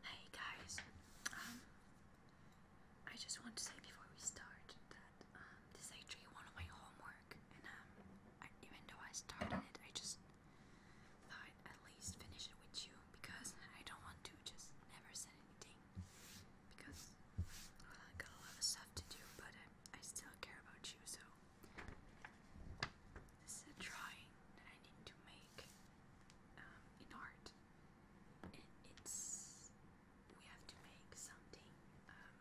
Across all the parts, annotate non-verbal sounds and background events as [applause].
Hey guys, um, I just want to say before we start that um, this is actually one of my homework, and um, I, even though I started it, I just thought I'd at least finish it with you because I don't want to just never send anything because well, I got a lot of stuff to do, but I still care about you, so this is a drawing that I need to make. Um, in art, it's we have to make something. Um,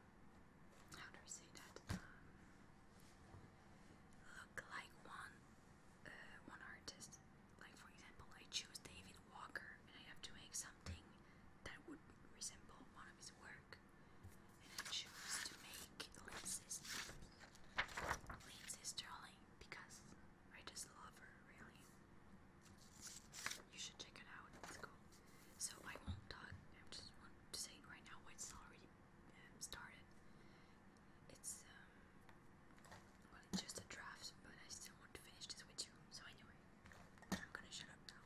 how do I say that? look like one uh, one artist. Like for example, I choose David Walker, and I have to make something that would resemble one of his work. And I choose to make Lindsay's Lindsay Sterling because I just love her, really. You should check it out. It's cool. So I won't talk. I just want to say right now it's already um, started. It's um, just a draft, but I still want to finish this with you. So anyway, I'm gonna shut up now.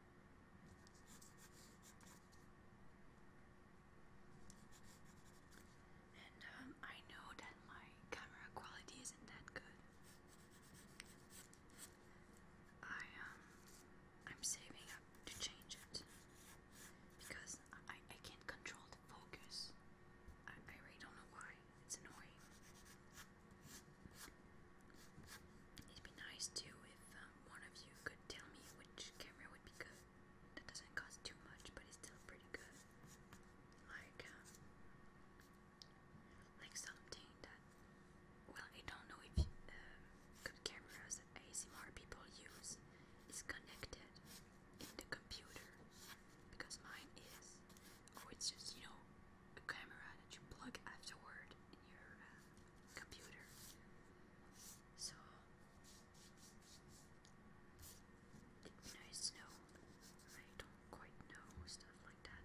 And um, I know that my camera quality isn't that good. I um, I'm saving up to change it because I I can't control the focus. I I really don't know why. It's annoying. It'd be nice too if um, one of you could tell me which camera would be good. That doesn't cost too much, but it's still pretty good. Like, um, like something that. Well, I don't know if um, good cameras that ASMR people use is connected in the computer because mine is. Or oh, it's just you know a camera that you plug afterward in your. Uh, computer. So it, you know, it's no, I don't quite know stuff like that.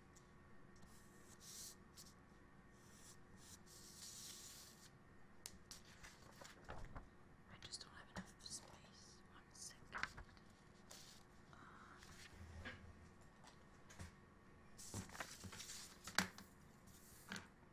I just don't have enough space. One second. Um, uh, Okay,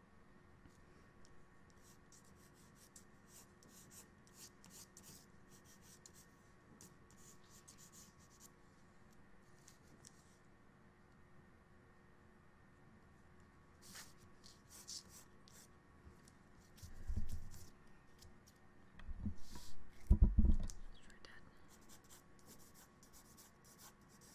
Sure, Dad.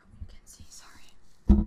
Oh, you can see, sorry.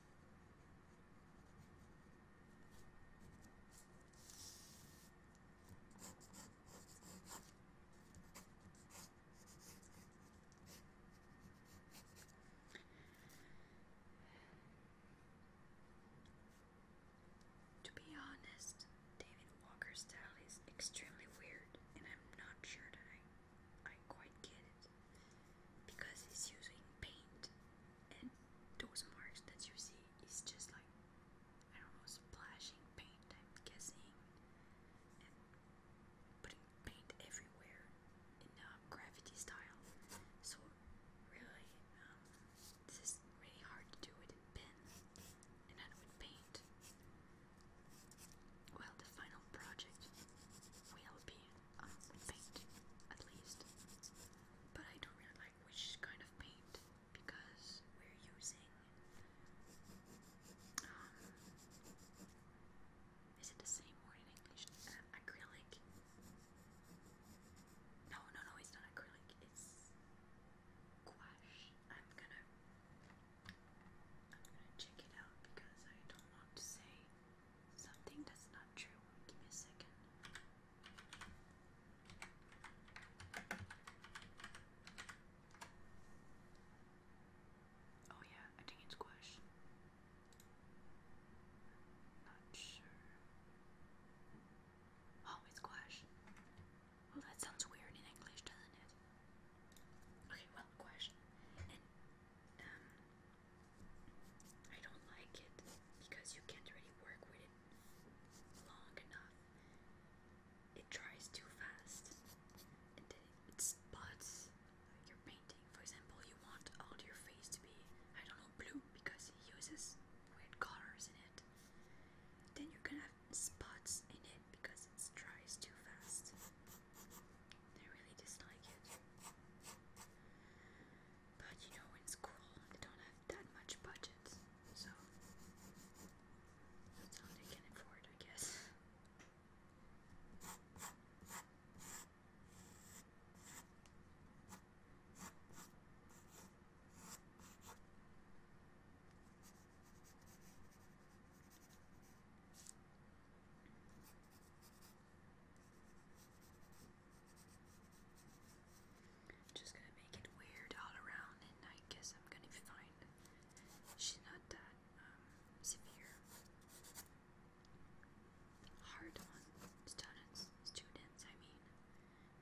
To be honest, David Walker's style is extremely weird, and I'm not sure that I I quite get it because he's using paint and those marks that you see is just like I don't know splashing paint I'm guessing and putting paint everywhere in a graffiti style so really um, this is really hard to do with in pen and not with paint well the final project will be on paint, at least. But I don't really like which kind of paint because we're using. Um, is it the same word in English? Uh, acrylic. No, no, no, it's not acrylic. It's gouache. I'm gonna. I'm gonna check it out because I don't want to say Something that's not true. Give me a second. Oh, yeah, I think it's squash. Not sure. Oh, it's squash. Well, that sounds weird in English, doesn't it? Okay, well, squash. Um, I don't like it because you can't really work with it long enough. It dries too fast and then it spots your painting. For example, you want all your face to be, I don't know, blue because it uses weird colors in it. Then you're gonna have spots in it because it dries too fast. I really dislike it. But you know, in school, they don't have that much budget, so that's all they can afford, I guess just gonna make it weird all around, and I guess I'm gonna find she's not that um, severe. Hard on students, students. I mean,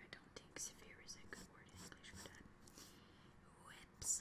I don't think severe is a good word in English for that. Whips.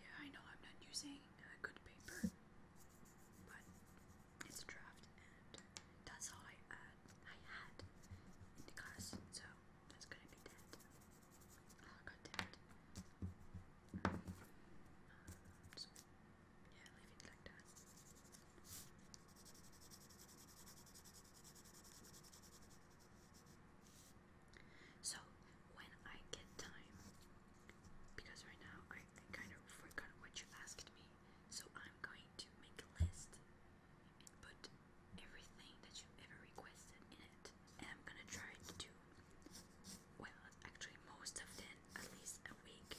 Yeah, I know I'm not using good paper, but it's a draft and that's all I, uh, had in the class, so that's gonna be it. Um, so, yeah, leave it like that. So, when I get time, because right now I kind of forgot what you asked me, so I'm going to make a list and put everything that you have ever requested in it. And I'm gonna try to do, well, actually, most of them at least a week.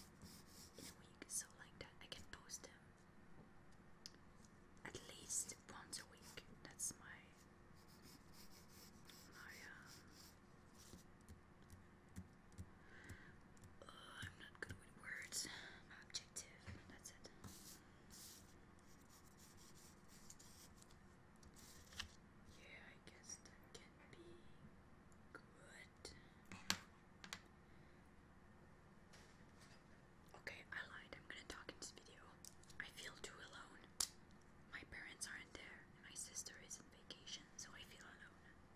In a week, so like that, I can post them at least once a week. That's my my um, I'm not good with words. objective, that's it. Yeah, I guess that can be good. Okay, I lied. I'm gonna talk in this video. I feel too alone. My parents aren't there, and my sister is on vacation, so I feel alone.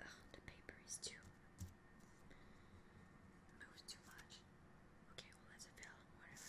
Ugh, the paper is too moves too much. Okay, well that's a fail. Whatever.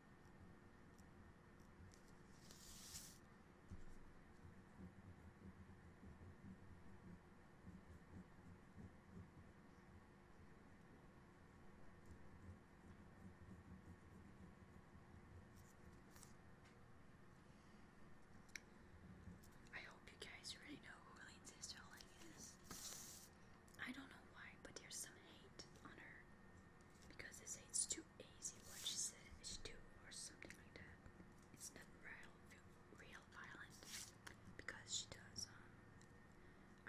I hope you guys really know who Lean's sister Lane is. I don't know why, but there's some hate on her because they say it's too easy what she said is too or something like that. It's not real, real violent because she does, um,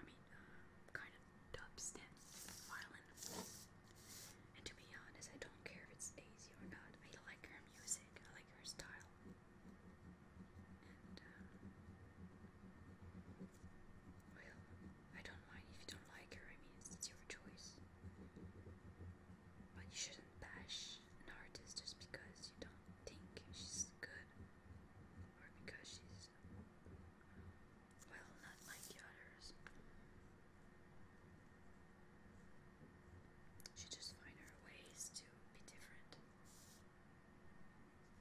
I mean, uh, kind of dubstep violent. And to be honest, I don't care if it's easy or not. I like her music. I like her style. And um, well, I don't mind if you don't like her, I mean, it's your choice. But you shouldn't bash an artist just because you don't think she's good or because she's, well, not like the others. She just find her ways to be different.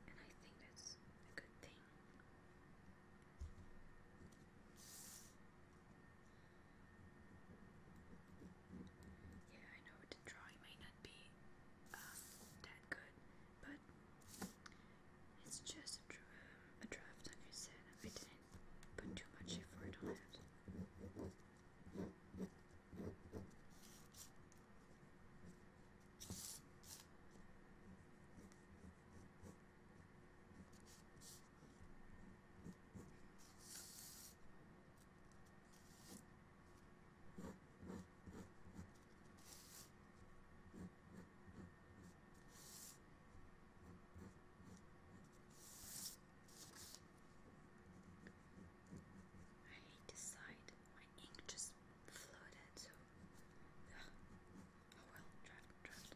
And I think that's a good thing. Yeah, I know the drawing may not be um, that good, but it's just a, draft, like I said, I didn't put too much effort on it. I decide my ink just floated Ugh. Oh well, draft, draft.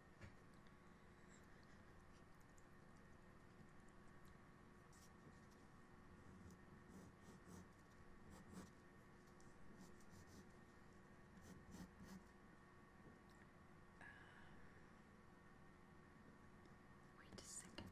Um, wait a second.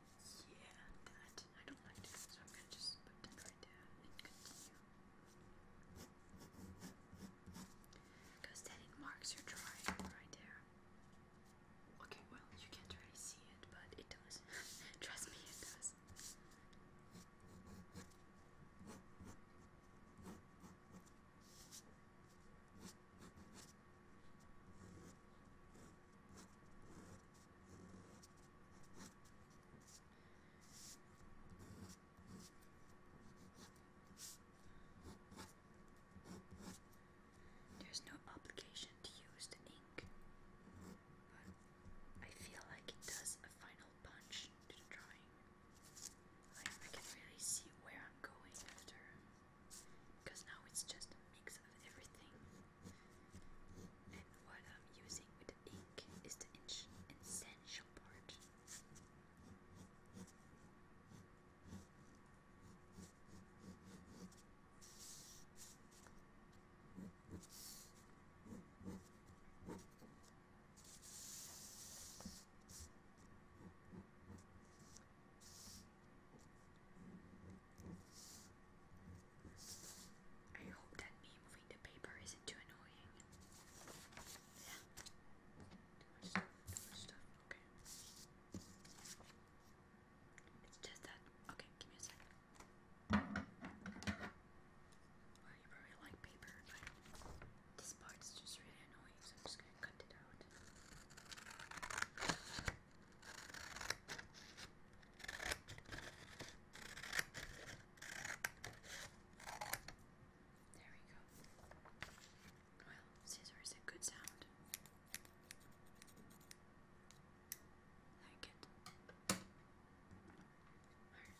Yeah, that. I don't like it, so I'm gonna just put that right there and continue. Because then it marks your drawing right there. Okay, well, you can't really see it, but it does. Trust me, it does. There's no obligation to use the ink, but I feel like it does a final punch to the drawing. I can really see where I'm going after, because now it's just a mix of everything. What I'm using with the ink is the essential part. I hope that me moving the paper isn't too annoying. Yeah. Too much stuff, too much stuff, okay. It's just that, okay, give me a second. Well, you probably like paper, but this part's just really annoying, so I'm just gonna cut it out. There we go. Well, scissors a good sound. Like it. All right.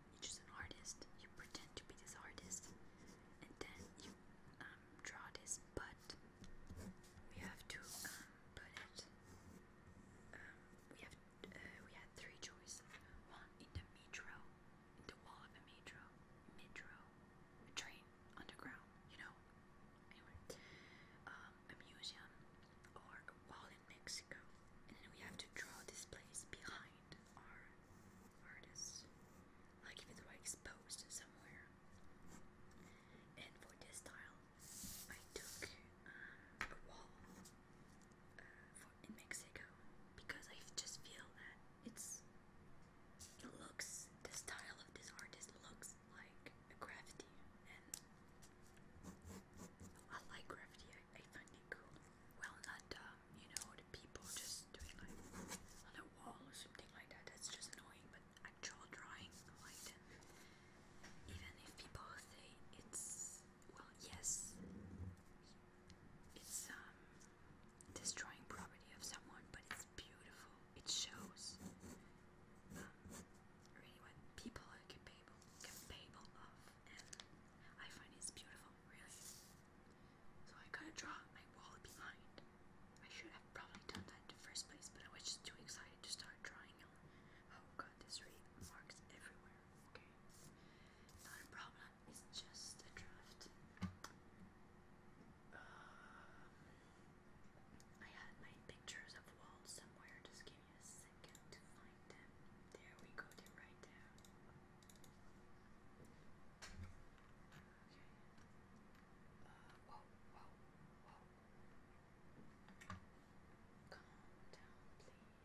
you choose an artist, you pretend to be this artist, and then you um, draw this, but we have to um, put it. Um, we have uh, we had three choices: one in the metro, in the wall of a metro, metro, a train underground, you know. Anyway, um, a museum or a wall in Mexico. And then we have to draw this place behind our artists. Like if it exposed somewhere. And for this style, I took uh, a wall uh, in Mexico because I just feel that it's it looks the style of this artist looks like graffiti and I like graffiti. I find it cool. Well, not um, you know, the people just doing like on a wall or something like that. That's just annoying. But actual drawing, I like them. Even if people say it's well, yes, it's um destroying property of someone, but it's beautiful. It shows. Um, really what people are capable capable of I find it's beautiful, really. So I gotta draw my wall behind. I should have probably done that in the first place, but I was just too excited to start drawing Oh god, this read marks everywhere. Okay. Not a problem, it's just a draft. Um, I had my pictures of walls somewhere, just give me a second to find write them. There we go, they write them. Okay. Uh, whoa, whoa, whoa. Calm down, please.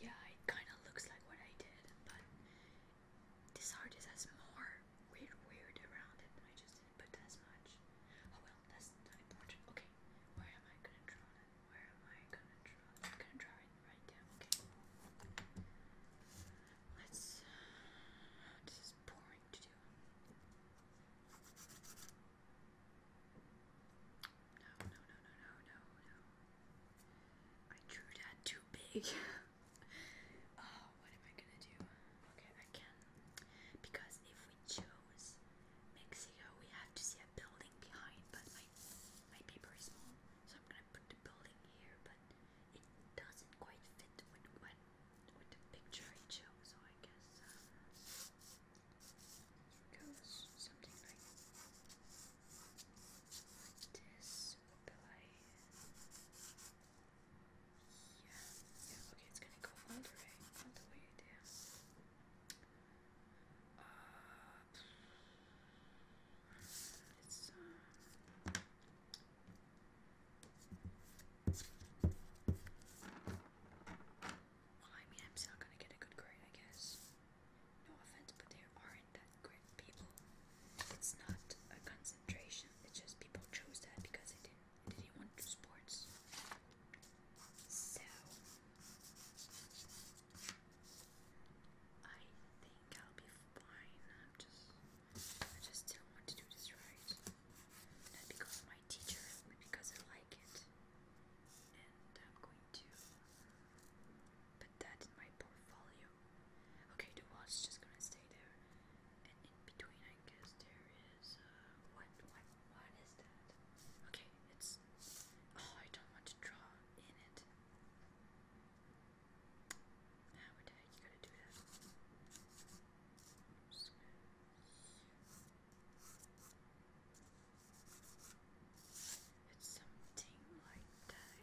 Yeah, it kind of looks like what I did, but this heart is as more weird weird around it. I just didn't put as much. Oh well, that's not important. Okay, where am I gonna draw it? Where am I gonna draw it? I'm gonna draw it right there. Okay. Let's. Uh, this is boring to do. No, no, no, no, no, no, no. I drew that too big. [laughs] Oh, what am I gonna do? Okay, I can. Because if we chose Mexico, we have to see a building behind, but my, my paper is small, so I'm gonna put the building here, but it doesn't quite fit with what with the picture I chose, so I guess uh, goes something like this. Will I yeah, okay, it's gonna go all the way, all the way down. Uh, it's, uh, well, I mean, I'm still gonna get a good grade, I guess. No offense, but there aren't that great people. It's not a cons it's just people chose that because they didn't didn't want to do sports. So I think I'll be fine. I'm just I just didn't want to do this right. Not because my teacher, but because I like it. And I'm going to put that in my portfolio Okay, the is just gonna stay there. And in between, I guess there is. Uh, what? What? What is that? Okay, it's. Oh, I don't want to draw in it. How would I? You gotta do that. it's something like I,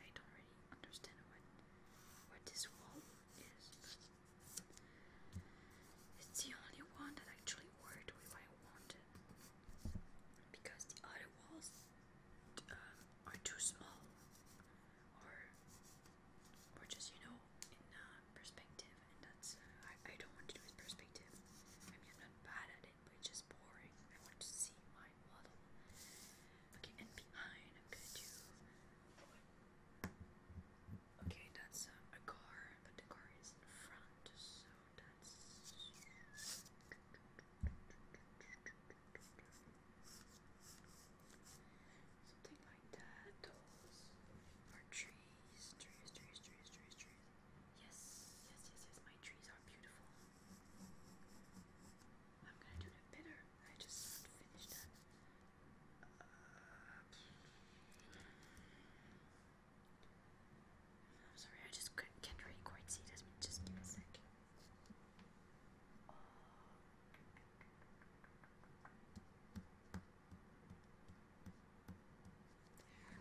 I don't really understand what what this wall it's the only one that actually worked with what I because the other walls uh, are too small or or just you know in uh, perspective and that's I, I don't want to do it perspective I mean I'm not bad at it but it's just boring I want to see my model okay and behind I'm going Okay, that's a car, but the car is in front, so that's. Something like that. Those are trees, trees, trees, trees, trees, trees. Yes, yes, yes, yes. My trees are beautiful. I'm gonna do them better. I just finished uh, I'm sorry, I just can't really quite see this, just give me a sec.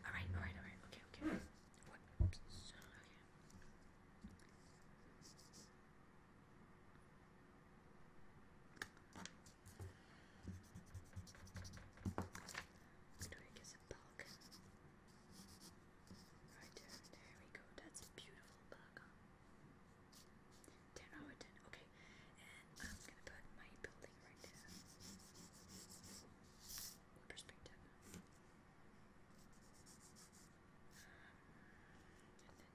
Alright, alright, alright, okay, Okay. Drake is bug. Right there, there we go. That's a beautiful bug. Ten out of ten. Okay, and I'm gonna put my building right there. perspective and then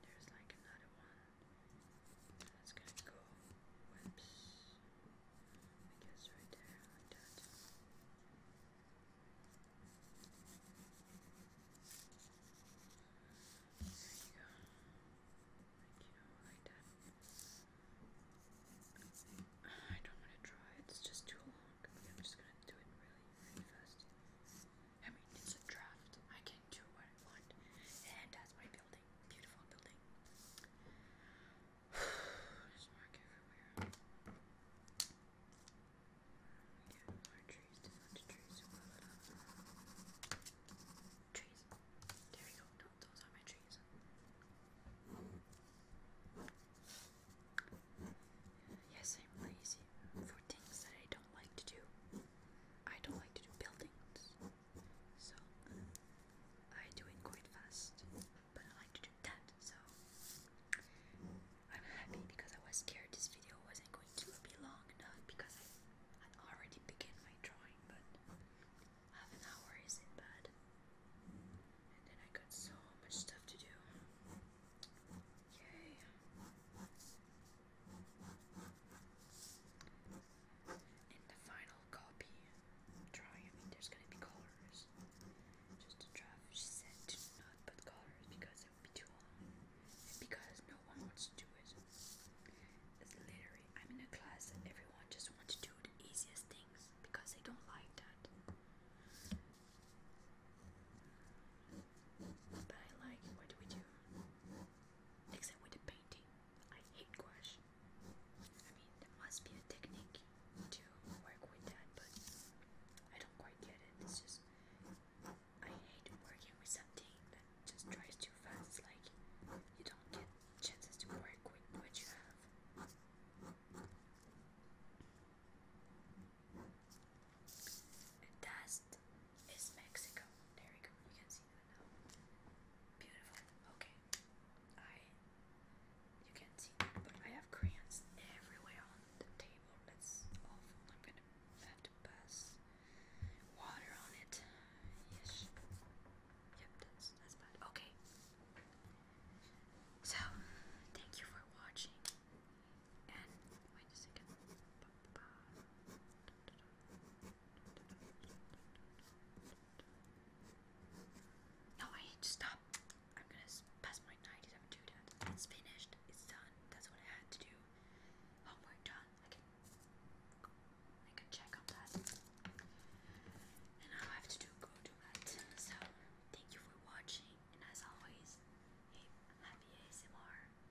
there's like another one that's going go whoops I guess right there like that there you go like you know like that I don't want to draw it's just too long. I'm just gonna do it really, really fast. I mean, it's a draft. I can do what I want. And that's my building. Beautiful building. [sighs] There's everywhere. Get more trees. There's a trees. Trees. There we go. No, those are my trees. Yes, I'm lazy for things that I don't like to do. I don't like to do buildings, so I do it quite fast, but I like to do that, so I'm happy because I was scared this video wasn't going to be long enough because I had already began my drawing, but half an hour isn't bad. And then I got so much stuff to do. Yay! In the final copy drawing, I mean, there's gonna be colors. Just a draft, she said to not put colors because it would be too long, because no one wants to do it. It's literally, I'm in class everyone just wants to do the easiest things because they don't like that. But I like What we do? Mix with the painting. I hate gouache. I mean, there must be a technique to work with that, but I don't quite get it. It's just I hate working with something that just dries too fast. Like you don't get chances to work with what you have. dust is Mexico. There we go. You can see that now. Beautiful. Okay. I you can see but I have crayons everywhere on the table. That's awful. I'm gonna have to pass water on it. Yes. Yep, that's that's bad. Okay. So thank you for watching. And wait a second. No, I need to stop. I'm gonna pass my 97 It's finished. It's done. That's what I had to do. Homework done. I I can check on that. And now I have to do go do that. So thank you for watching. And as always, hey, happy ASMR.